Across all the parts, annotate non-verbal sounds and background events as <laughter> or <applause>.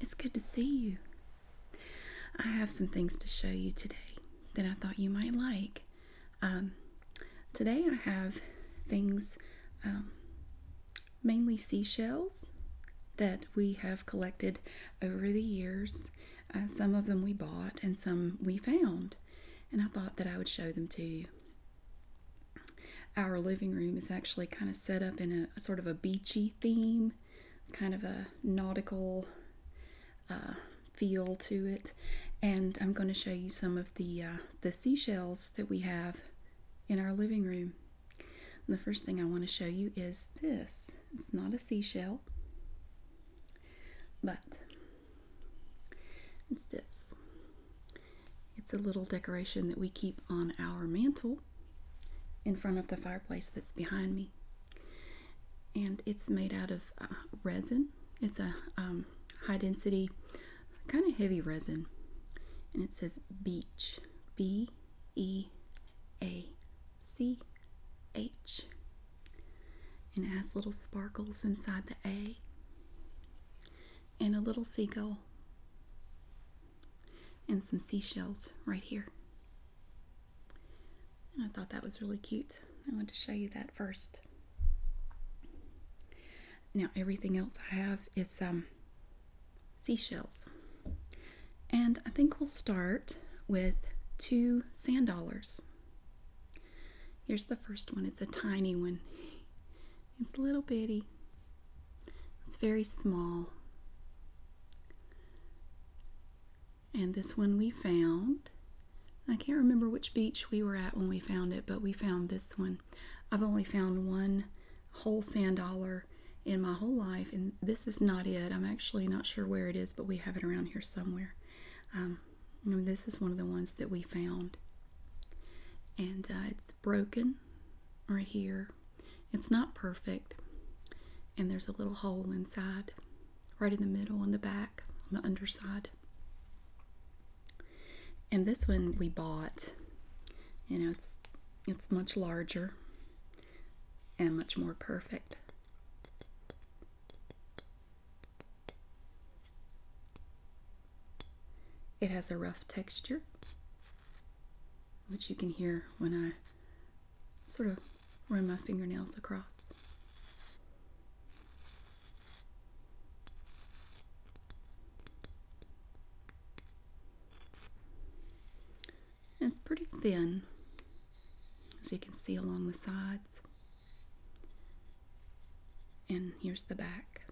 It's good to see you. I have some things to show you today that I thought you might like. Um, today I have things, um, mainly seashells, that we have collected over the years. Uh, some of them we bought and some we found, and I thought that I would show them to you. Our living room is actually kind of set up in a sort of a beachy theme, kind of a nautical uh, feel to it. And I'm going to show you some of the uh, the seashells that we have in our living room. the first thing I want to show you is this. It's not a seashell, but it's this. It's a little decoration that we keep on our mantle in front of the fireplace that's behind me. And it's made out of uh, resin. It's a um, high density, kind of heavy resin. And it says beach. B E A C H. And it has little sparkles inside the A and a little seagull and some seashells right here. I thought that was really cute. I wanted to show you that first. Now everything else I have is um, seashells. And I think we'll start with two sand dollars. Here's the first one. It's a tiny one. It's a little bitty. It's very small. And this one we found. I can't remember which beach we were at when we found it, but we found this one. I've only found one whole sand dollar in my whole life, and this is not it. I'm actually not sure where it is, but we have it around here somewhere. Um, this is one of the ones that we found. And uh, it's broken right here. It's not perfect, and there's a little hole inside, right in the middle on the back, on the underside. And this one we bought. You know, it's it's much larger and much more perfect. It has a rough texture which you can hear when I sort of run my fingernails across. It's pretty thin, as you can see along the sides. And here's the back.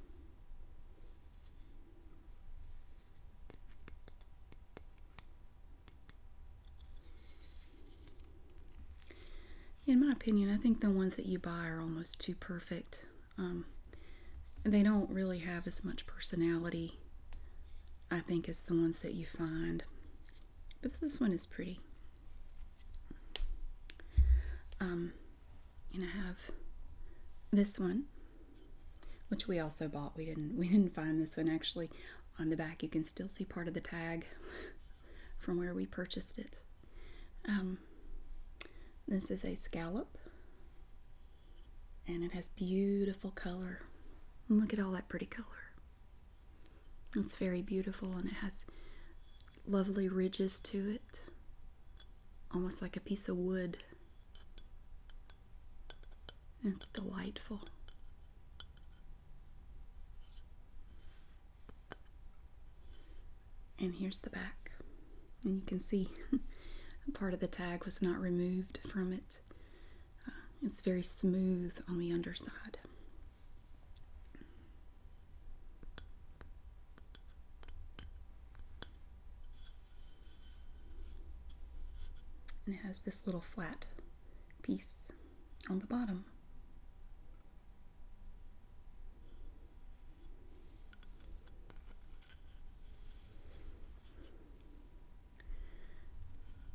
In my opinion, I think the ones that you buy are almost too perfect. Um, they don't really have as much personality, I think, as the ones that you find. But this one is pretty. Um, and I have this one which we also bought. We didn't we didn't find this one actually. On the back you can still see part of the tag <laughs> from where we purchased it. Um, this is a scallop and it has beautiful color. look at all that pretty color. It's very beautiful and it has lovely ridges to it. Almost like a piece of wood it's delightful. And here's the back. And you can see <laughs> part of the tag was not removed from it. Uh, it's very smooth on the underside and it has this little flat piece on the bottom.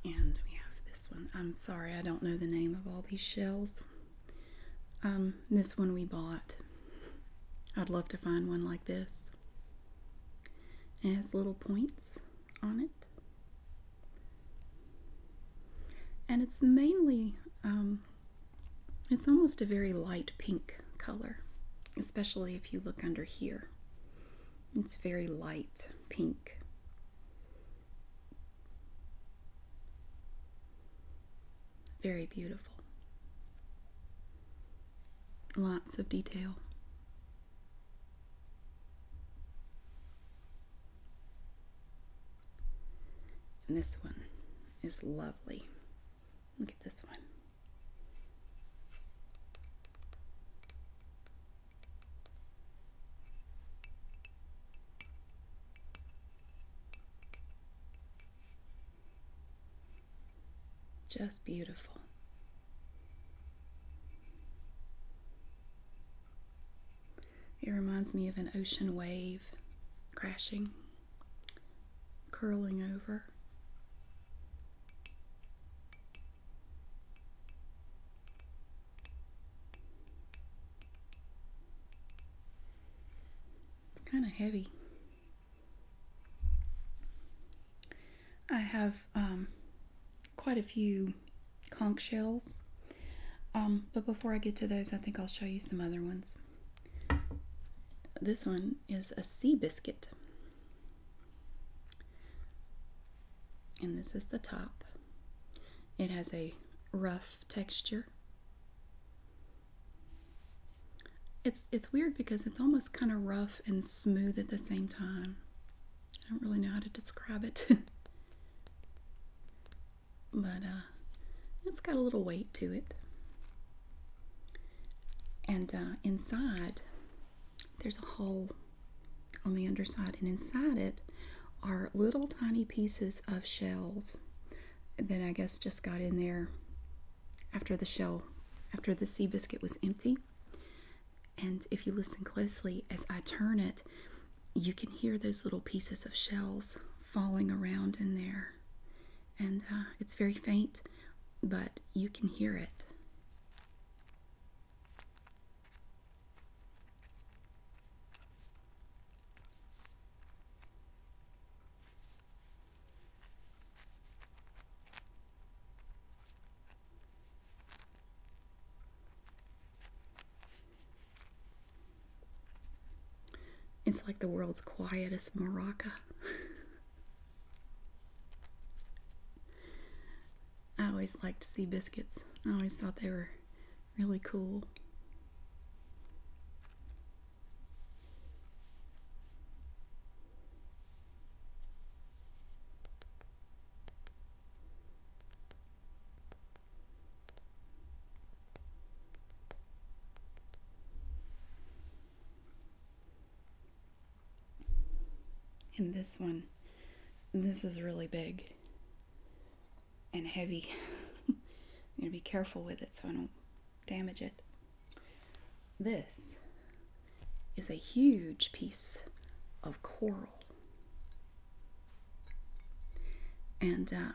And we have this one. I'm sorry, I don't know the name of all these shells. Um, this one we bought. I'd love to find one like this. It has little points on it. And it's mainly, um, it's almost a very light pink color, especially if you look under here. It's very light pink. Very beautiful. Lots of detail. And this one is lovely. Look at this one. Just beautiful. It reminds me of an ocean wave crashing, curling over. It's kind of heavy. I have um, quite a few conch shells, um, but before I get to those, I think I'll show you some other ones. This one is a sea biscuit, and this is the top. It has a rough texture it's it's weird because it's almost kind of rough and smooth at the same time. I don't really know how to describe it. <laughs> but uh, it's got a little weight to it. And uh, inside, there's a hole on the underside, and inside it are little tiny pieces of shells that I guess just got in there after the shell, after the sea biscuit was empty. And if you listen closely as I turn it, you can hear those little pieces of shells falling around in there. And uh, it's very faint, but you can hear it. It's like the world's quietest Morocco. I always liked to see biscuits. I always thought they were really cool. In this one, this is really big and heavy. <laughs> I'm going to be careful with it so I don't damage it. This is a huge piece of coral. And uh,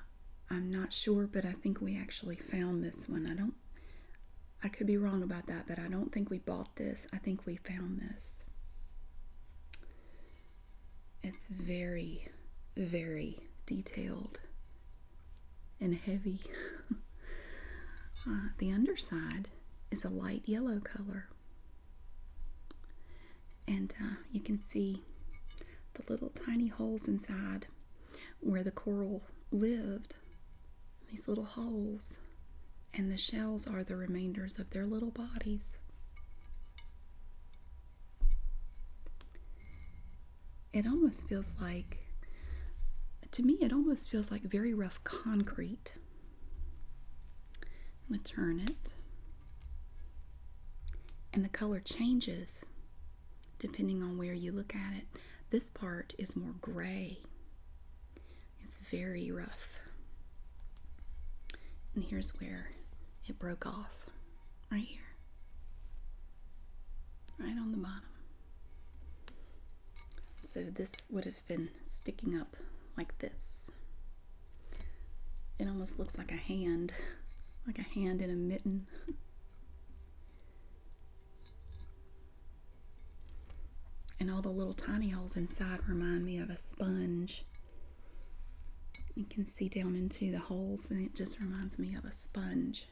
I'm not sure, but I think we actually found this one. I don't, I could be wrong about that, but I don't think we bought this. I think we found this. It's very, very detailed and heavy. <laughs> Uh, the underside is a light yellow color. And uh, you can see the little tiny holes inside where the coral lived, these little holes, and the shells are the remainders of their little bodies. It almost feels like, to me, it almost feels like very rough concrete. I'm turn it. And the color changes depending on where you look at it. This part is more gray. It's very rough. And here's where it broke off, right here, right on the bottom. So this would have been sticking up like this. It almost looks like a hand, like a hand in a mitten. And all the little tiny holes inside remind me of a sponge. You can see down into the holes, and it just reminds me of a sponge.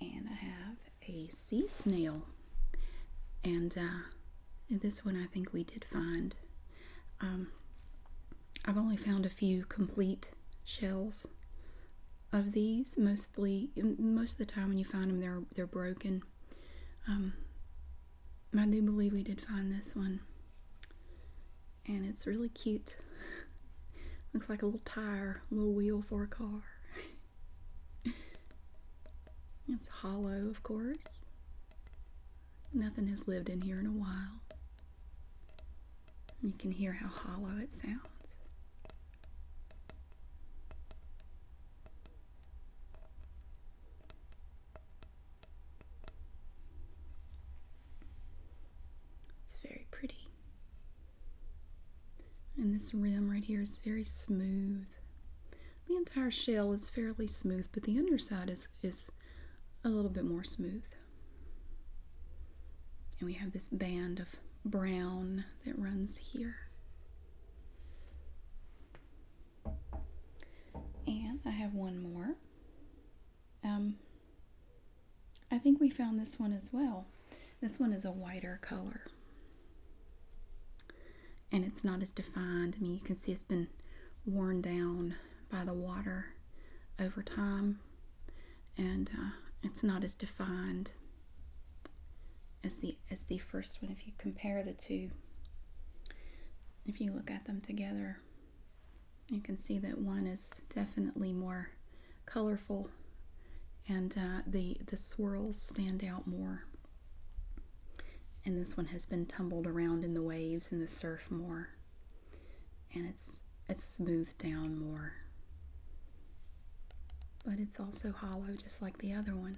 And I have a sea snail. And uh, this one I think we did find. Um, I've only found a few complete shells of these. Mostly, most of the time when you find them, they're they're broken. Um, I do believe we did find this one and it's really cute. Looks like a little tire, a little wheel for a car. it's hollow, of course. Nothing has lived in here in a while. You can hear how hollow it sounds. It's very pretty. And this rim right here is very smooth. The entire shell is fairly smooth, but the underside is, is a little bit more smooth. And we have this band of brown that runs here. And I have one more. Um, I think we found this one as well. This one is a whiter color. And it's not as defined. I mean, you can see it's been worn down by the water over time. And uh, it's not as defined as the as the first one if you compare the two if you look at them together you can see that one is definitely more colorful and uh, the, the swirls stand out more. And this one has been tumbled around in the waves and the surf more. And it's, it's smoothed down more. But it's also hollow just like the other one.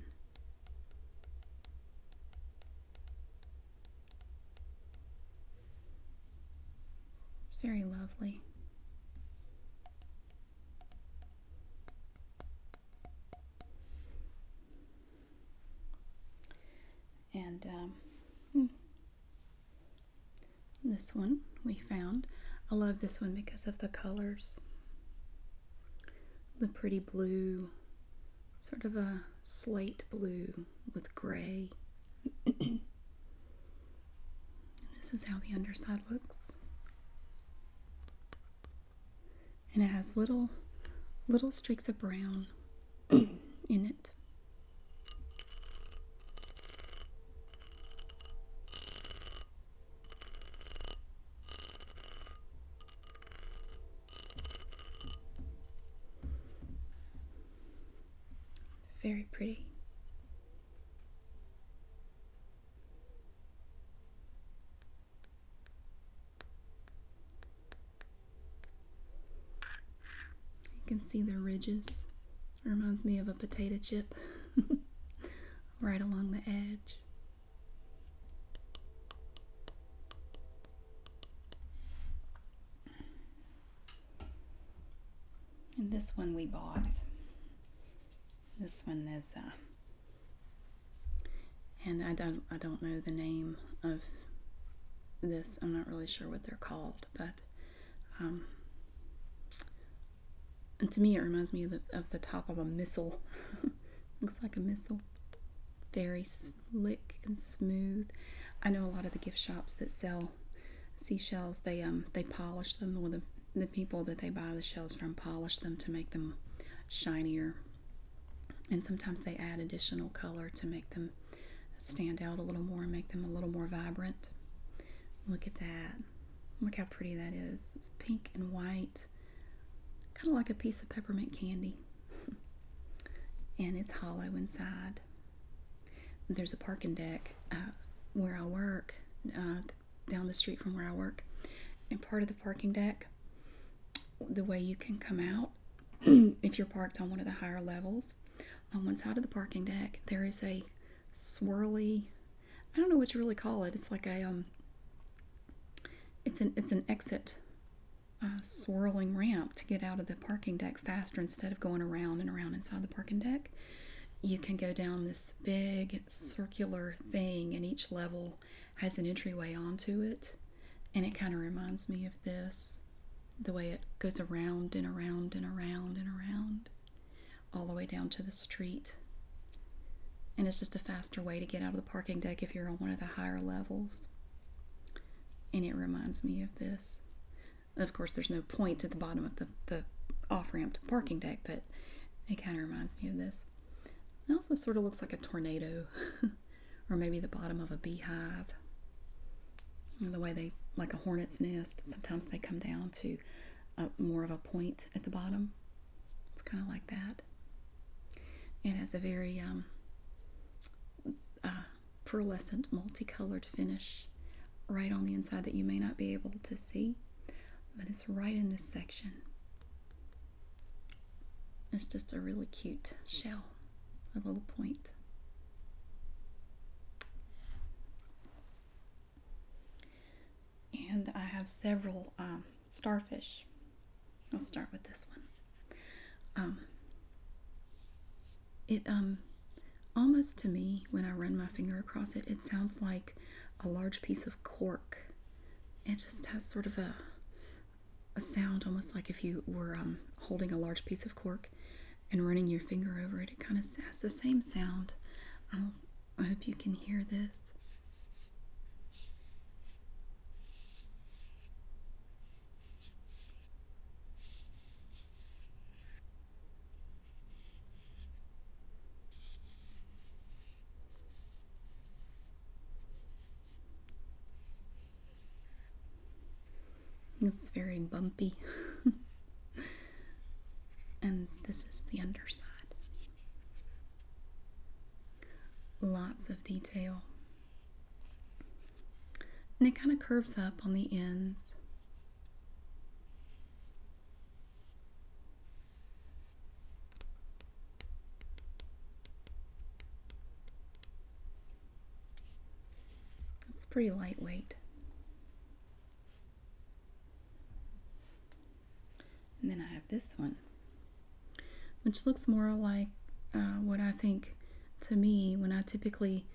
It's very lovely. And um, hmm. this one we found. I love this one because of the colors. The pretty blue, sort of a slate blue with gray. <clears throat> And this is how the underside looks. And it has little little streaks of brown <clears throat> in it. Very pretty. You can see the ridges. It reminds me of a potato chip <laughs> right along the edge. And this one we bought. This one is, uh, and I don't, I don't know the name of this. I'm not really sure what they're called, but um, and to me, it reminds me of the, of the top of a missile. <laughs> Looks like a missile. Very slick and smooth. I know a lot of the gift shops that sell seashells. They um, they polish them, or the the people that they buy the shells from polish them to make them shinier. And sometimes they add additional color to make them stand out a little more and make them a little more vibrant. Look at that. Look how pretty that is. It's pink and white, kind of like a piece of peppermint candy. <laughs> and it's hollow inside. There's a parking deck uh, where I work, uh, down the street from where I work, and part of the parking deck, the way you can come out, <clears throat> if you're parked on one of the higher levels, on one side of the parking deck, there is a swirly, I don't know what you really call it. It's like a um, it's an it's an exit uh, swirling ramp to get out of the parking deck faster instead of going around and around inside the parking deck. You can go down this big circular thing, and each level has an entryway onto it. And it kind of reminds me of this the way it goes around and around and around and around, all the way down to the street. And it's just a faster way to get out of the parking deck if you're on one of the higher levels. And it reminds me of this. Of course, there's no point to the bottom of the, the off ramp parking deck, but it kind of reminds me of this. It also sort of looks like a tornado, <laughs> or maybe the bottom of a beehive. the way they, like a hornet's nest, sometimes they come down to more of a point at the bottom. It's kind of like that. It has a very um, uh, pearlescent multicolored finish right on the inside that you may not be able to see but it's right in this section it's just a really cute shell a little point and I have several um, starfish. I'll start with this one. Um, it um almost to me when I run my finger across it, it sounds like a large piece of cork. It just has sort of a a sound almost like if you were um, holding a large piece of cork and running your finger over it. It kind of has the same sound. I hope you can hear this. It's very bumpy. <laughs> and this is the underside. Lots of detail. And it kind of curves up on the ends. That's pretty lightweight. And then I have this one, which looks more like uh, what I think to me when I typically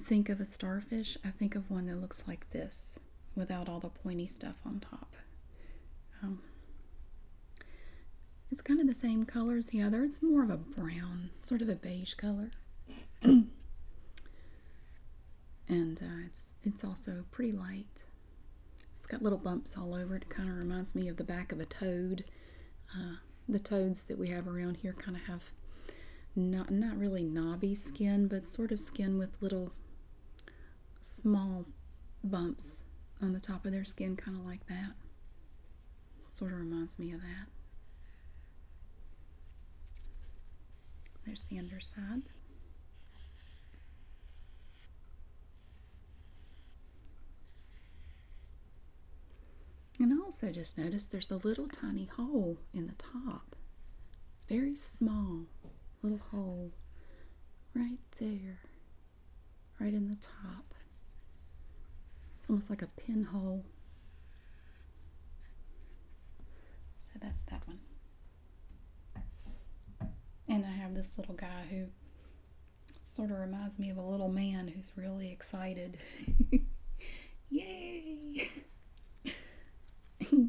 think of a starfish, I think of one that looks like this without all the pointy stuff on top. Um, it's kind of the same color as the other. It's more of a brown, sort of a beige color. <clears throat> and uh, it's, it's also pretty light. It's got little bumps all over it. kind of reminds me of the back of a toad. Uh, the toads that we have around here kind of have not not really knobby skin, but sort of skin with little small bumps on the top of their skin, kind of like that. Sort of reminds me of that. There's the underside. And also just notice there's a little tiny hole in the top. Very small little hole right there, right in the top. It's almost like a pinhole. So that's that one. And I have this little guy who sort of reminds me of a little man who's really excited. <laughs> Yay! <laughs>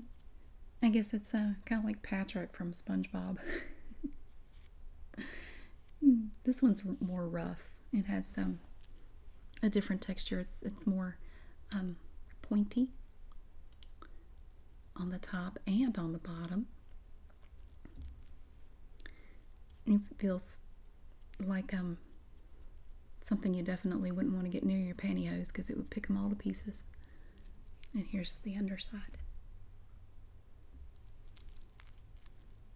I guess it's uh, kind of like Patrick from SpongeBob. <laughs> this one's more rough. It has um, a different texture. It's it's more um, pointy on the top and on the bottom it feels like um something you definitely wouldn't want to get near your pantyhose because it would pick them all to pieces. And here's the underside.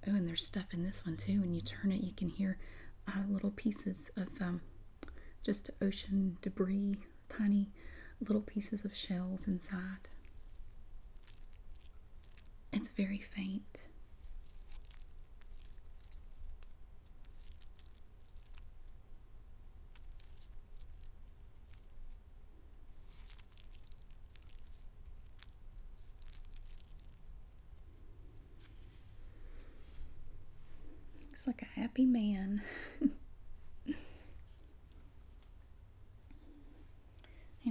Oh, and there's stuff in this one too. When you turn it, you can hear uh, little pieces of um, just ocean debris, tiny little pieces of shells inside. It's very faint. Looks like a happy man. <laughs> and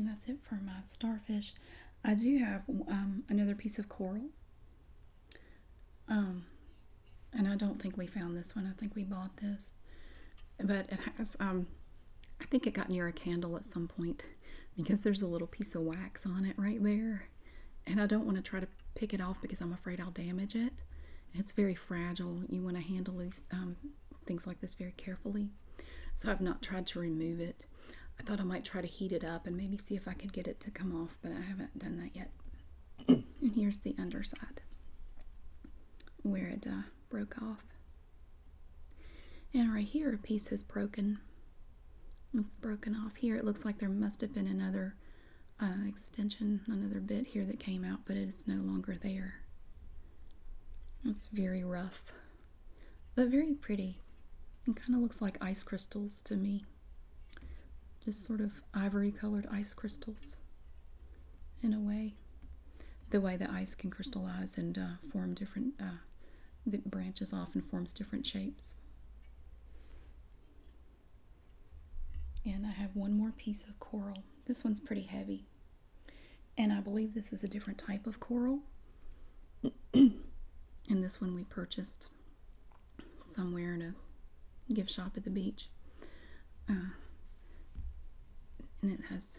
that's it for my starfish. I do have um, another piece of coral um, and I don't think we found this one. I think we bought this, but it has. Um, I think it got near a candle at some point because there's a little piece of wax on it right there, and I don't want to try to pick it off because I'm afraid I'll damage it. It's very fragile. You want to handle these um, things like this very carefully. So I've not tried to remove it I thought I might try to heat it up and maybe see if I could get it to come off, but I haven't done that yet. <clears throat> and here's the underside where it uh, broke off. And right here, a piece has broken. It's broken off here. It looks like there must have been another uh, extension, another bit here that came out, but it is no longer there. It's very rough but very pretty. It kind of looks like ice crystals to me. Just sort of ivory colored ice crystals in a way. The way the ice can crystallize and uh, form different, uh, branches off and forms different shapes. And I have one more piece of coral. This one's pretty heavy. And I believe this is a different type of coral. <clears throat> and this one we purchased somewhere in a gift shop at the beach. Uh, and it has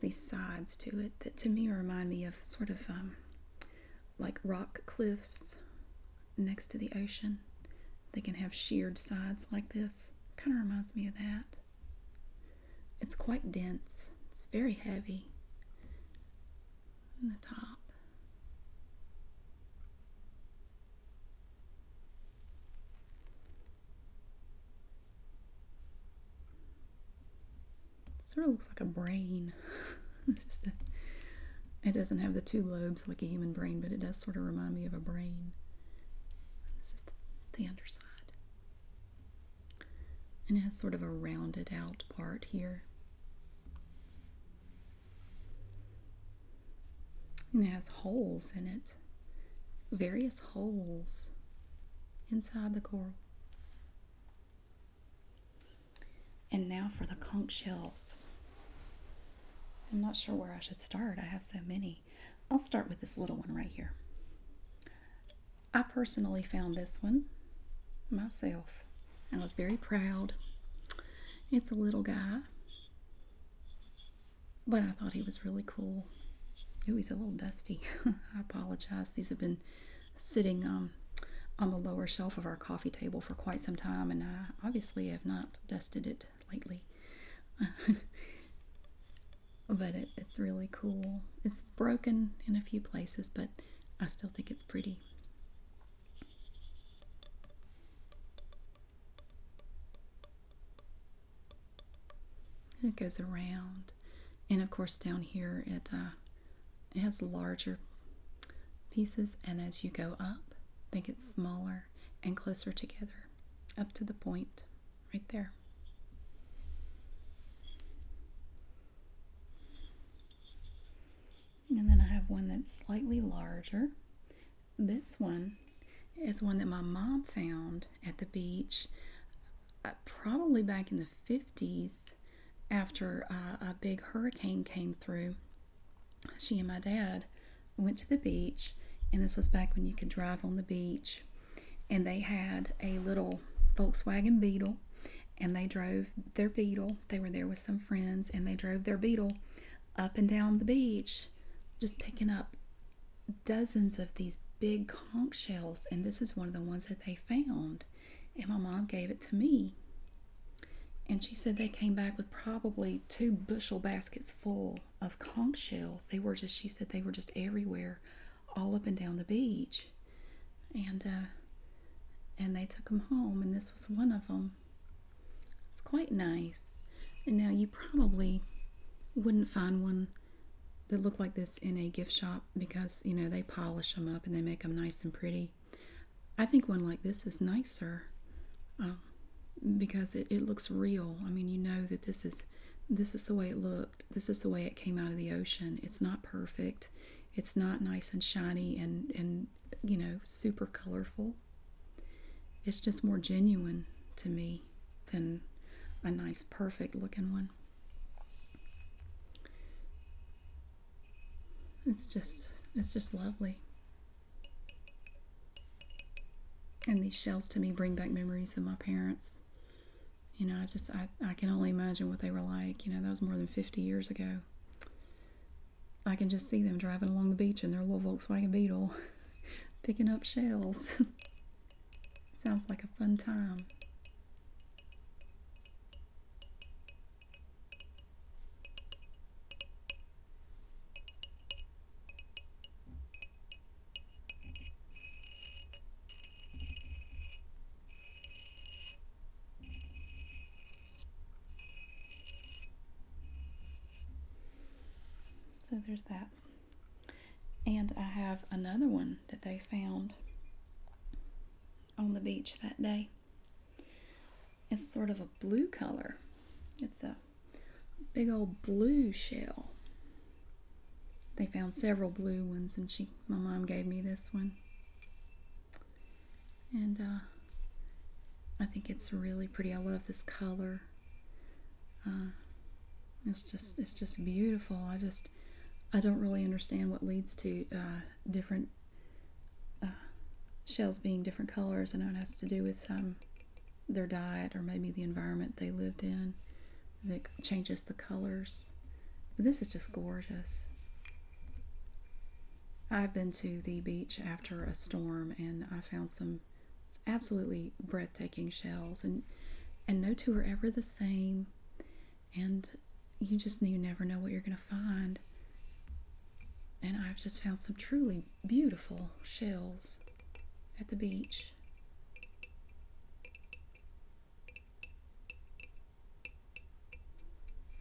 these sides to it that to me remind me of sort of um, like rock cliffs next to the ocean. They can have sheared sides like this. Kind of reminds me of that. It's quite dense, it's very heavy the top. It sort of looks like a brain. <laughs> it doesn't have the two lobes like a human brain, but it does sort of remind me of a brain. This is the underside and it has sort of a rounded out part here. And it has holes in it, various holes inside the coral. And now for the conch shells. I'm not sure where I should start. I have so many. I'll start with this little one right here. I personally found this one myself. I was very proud. It's a little guy, but I thought he was really cool. Ooh, he's a little dusty. <laughs> I apologize. These have been sitting um, on the lower shelf of our coffee table for quite some time, and I obviously have not dusted it lately. <laughs> but it's really cool. It's broken in a few places, but I still think it's pretty. It goes around, and of course down here it uh, it has larger pieces, and as you go up, they get smaller and closer together, up to the point right there. And then I have one that's slightly larger. This one is one that my mom found at the beach uh, probably back in the 50s after uh, a big hurricane came through. She and my dad went to the beach, and this was back when you could drive on the beach, and they had a little Volkswagen Beetle and they drove their beetle. They were there with some friends and they drove their beetle up and down the beach, just picking up dozens of these big conch shells. And this is one of the ones that they found. And my mom gave it to me. And she said they came back with probably two bushel baskets full of conch shells. They were just, she said, they were just everywhere, all up and down the beach and uh, and they took them home, and this was one of them. It's quite nice. And now you probably wouldn't find one that looked like this in a gift shop because you know they polish them up and they make them nice and pretty. I think one like this is nicer um, because it, it looks real. I mean, you know that this is this is the way it looked. This is the way it came out of the ocean. It's not perfect. It's not nice and shiny and and you know super colorful. It's just more genuine to me than a nice perfect looking one. It's just it's just lovely. And these shells to me bring back memories of my parents you know, I just, I, I can only imagine what they were like. You know, that was more than 50 years ago. I can just see them driving along the beach in their little Volkswagen Beetle, <laughs> picking up shells. <laughs> Sounds like a fun time. So there's that. And I have another one that they found on the beach that day. It's sort of a blue color. It's a big old blue shell. They found several blue ones and she my mom gave me this one and uh, I think it's really pretty. I love this color. Uh, it's just it's just beautiful. I just I don't really understand what leads to uh, different shells being different colors. I know it has to do with um, their diet or maybe the environment they lived in that changes the colors. But this is just gorgeous. I've been to the beach after a storm and I found some absolutely breathtaking shells and and no two are ever the same and you just you never know what you're going to find. And I've just found some truly beautiful shells at the beach.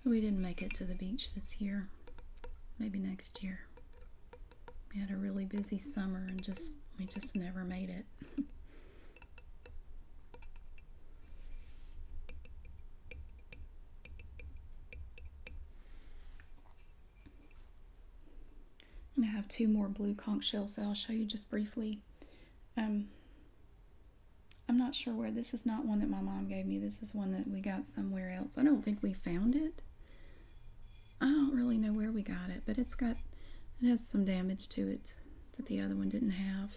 We didn't make it to the beach this year. Maybe next year. We had a really busy summer and just we just never made it. and <laughs> I have two more blue conch shells that I'll show you just briefly. Um, I'm not sure where. This is not one that my mom gave me. This is one that we got somewhere else. I don't think we found it. I don't really know where we got it, but it's got it has some damage to it that the other one didn't have.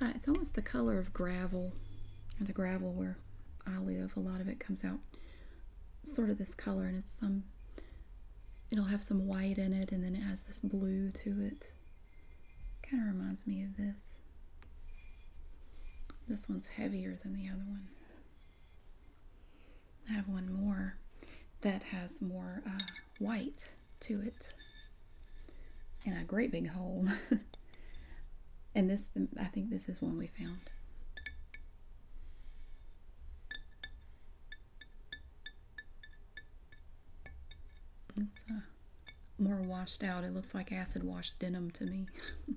Uh, it's almost the color of gravel, or the gravel where I live. A lot of it comes out sort of this color, and it's some. It'll have some white in it, and then it has this blue to it. Kind of reminds me of this. This one's heavier than the other one. I have one more that has more uh, white to it and a great big hole. <laughs> and this, I think this is one we found more washed out. It looks like acid washed denim to me. <laughs>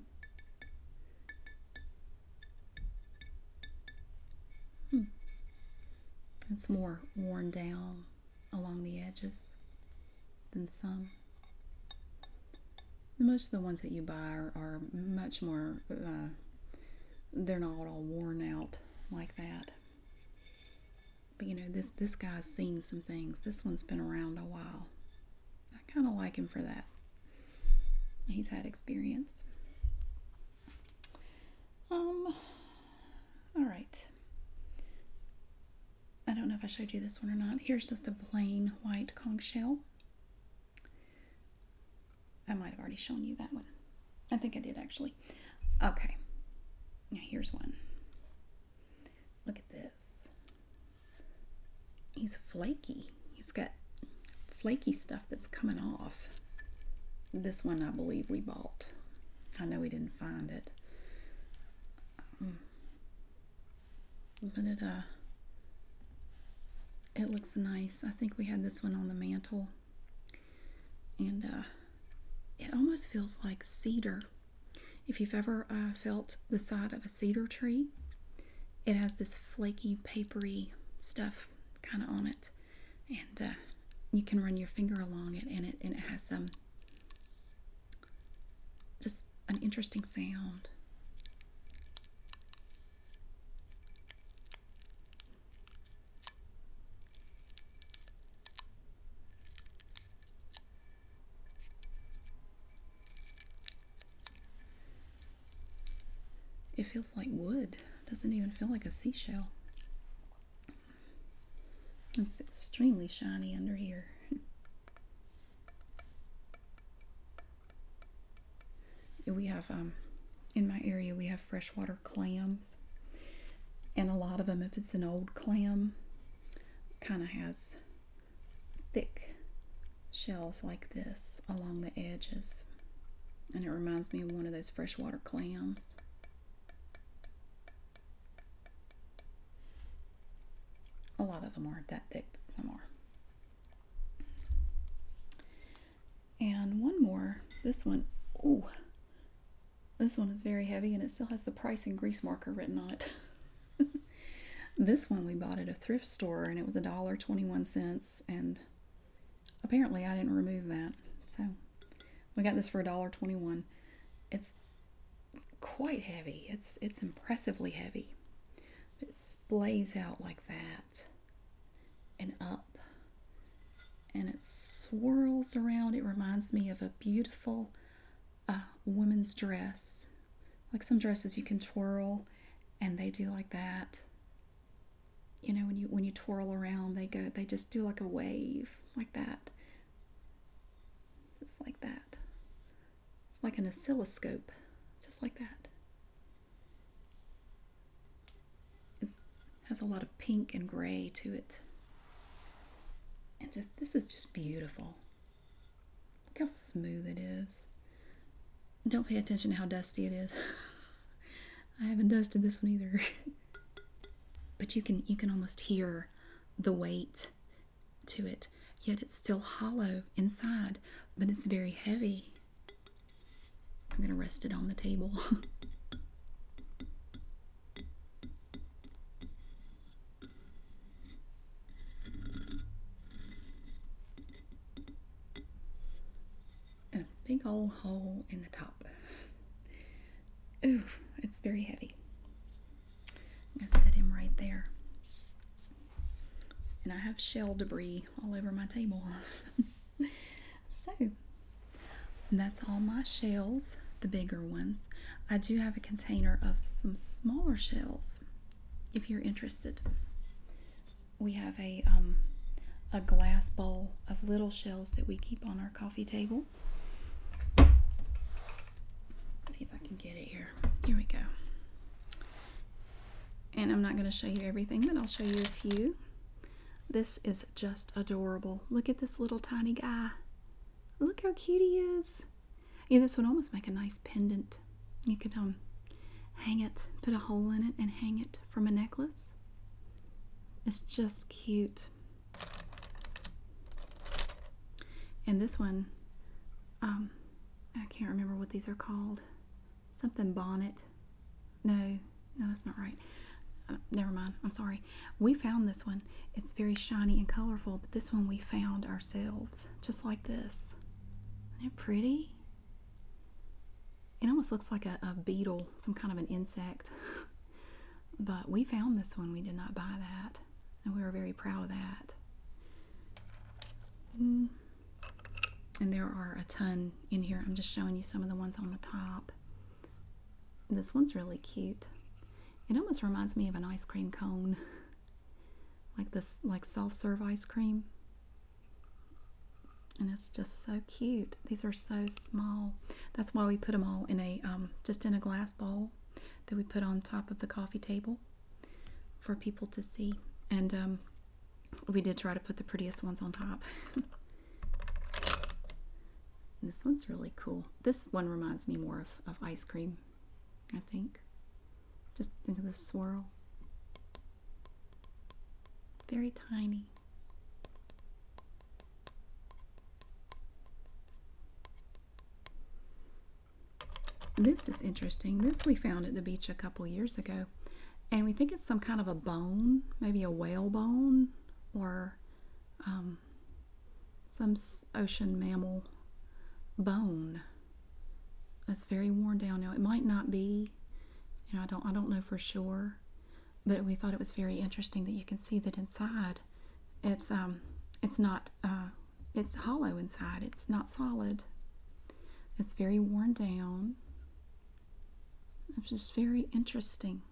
Hmm. It's more worn down along the edges than some. Most of the ones that you buy are, much more, uh, they're not all worn out like that. But you know, this this guy's seen some things. This one's been around a while. I kind of like him for that. He's had experience. Um all right. I don't know if I showed you this one or not. Here's just a plain white conch shell. I might have already shown you that one. I think I did actually. Okay. Now here's one. Look at this. He's flaky. He's got flaky stuff that's coming off. This one I believe we bought. I know we didn't find it. Um, but it, uh, it looks nice. I think we had this one on the mantle and uh, it almost feels like cedar. If you've ever uh, felt the side of a cedar tree, it has this flaky, papery stuff kind of on it, and uh, you can run your finger along it and it has some just an interesting sound. It feels like wood. Doesn't even feel like a seashell. It's extremely shiny under here. <laughs> we have um in my area we have freshwater clams, and a lot of them, if it's an old clam, kind of has thick shells like this along the edges. And it reminds me of one of those freshwater clams. A lot of them aren't that thick, some are. And one more. This one, oh, this one is very heavy and it still has the price and grease marker written on it. <laughs> this one we bought at a thrift store and it was a dollar twenty-one cents and apparently I didn't remove that. So we got this for a dollar twenty-one. It's quite heavy. It's it's impressively heavy. It splays out like that and up and it swirls around. It reminds me of a beautiful uh, woman's dress. Like some dresses you can twirl and they do like that. You know, when you when you twirl around, they go they just do like a wave like that. Just like that. It's like an oscilloscope, just like that has a lot of pink and gray to it. And just this is just beautiful. Look how smooth it is. Don't pay attention to how dusty it is. <laughs> I haven't dusted this one either. <laughs> but you can you can almost hear the weight to it. Yet it's still hollow inside, but it's very heavy. I'm going to rest it on the table. <laughs> And a big old hole in the top. Ooh, it's very heavy. i set him right there. And I have shell debris all over my table. <laughs> So that's all my shells, the bigger ones. I do have a container of some smaller shells if you're interested. We have a um, a glass bowl of little shells that we keep on our coffee table. see if I can get it here. Here we go. And I'm not going to show you everything, but I'll show you a few. This is just adorable. Look at this little tiny guy. Look how cute he is. Yeah, this would almost make a nice pendant. You could um hang it, put a hole in it, and hang it from a necklace. It's just cute. And this one, um, I can't remember what these are called. Something bonnet. No, no, that's not right. Uh, never mind. I'm sorry. We found this one. It's very shiny and colorful, but this one we found ourselves, just like this. Isn't it pretty? It almost looks like a, beetle, some kind of an insect. <laughs> but we found this one. We did not buy that, and we were very proud of that. Mm. And there are a ton in here. I'm just showing you some of the ones on the top. This one's really cute. It almost reminds me of an ice cream cone. <laughs> like this like soft serve ice cream. And it's just so cute. These are so small. That's why we put them all in a um, just in a glass bowl that we put on top of the coffee table for people to see. And um, we did try to put the prettiest ones on top. <laughs> this one's really cool. This one reminds me more of, of ice cream, I think. Just think of the swirl. Very tiny. This is interesting. This we found at the beach a couple years ago. And we think it's some kind of a bone, maybe a whale bone or um, some ocean mammal bone that's very worn down now. It might not be, you know, I don't I don't know for sure, but we thought it was very interesting that you can see that inside, it's um, it's not uh, it's hollow inside. It's not solid. It's very worn down. It's just very interesting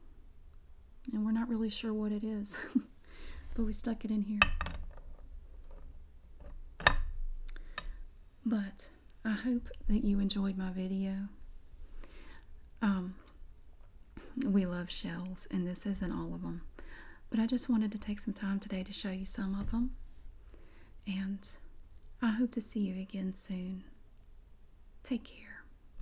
and we're not really sure what it is, <laughs> but we stuck it in here. But I hope that you enjoyed my video. Um, we love shells, and this isn't all of them, but I just wanted to take some time today to show you some of them, and I hope to see you again soon. Take care.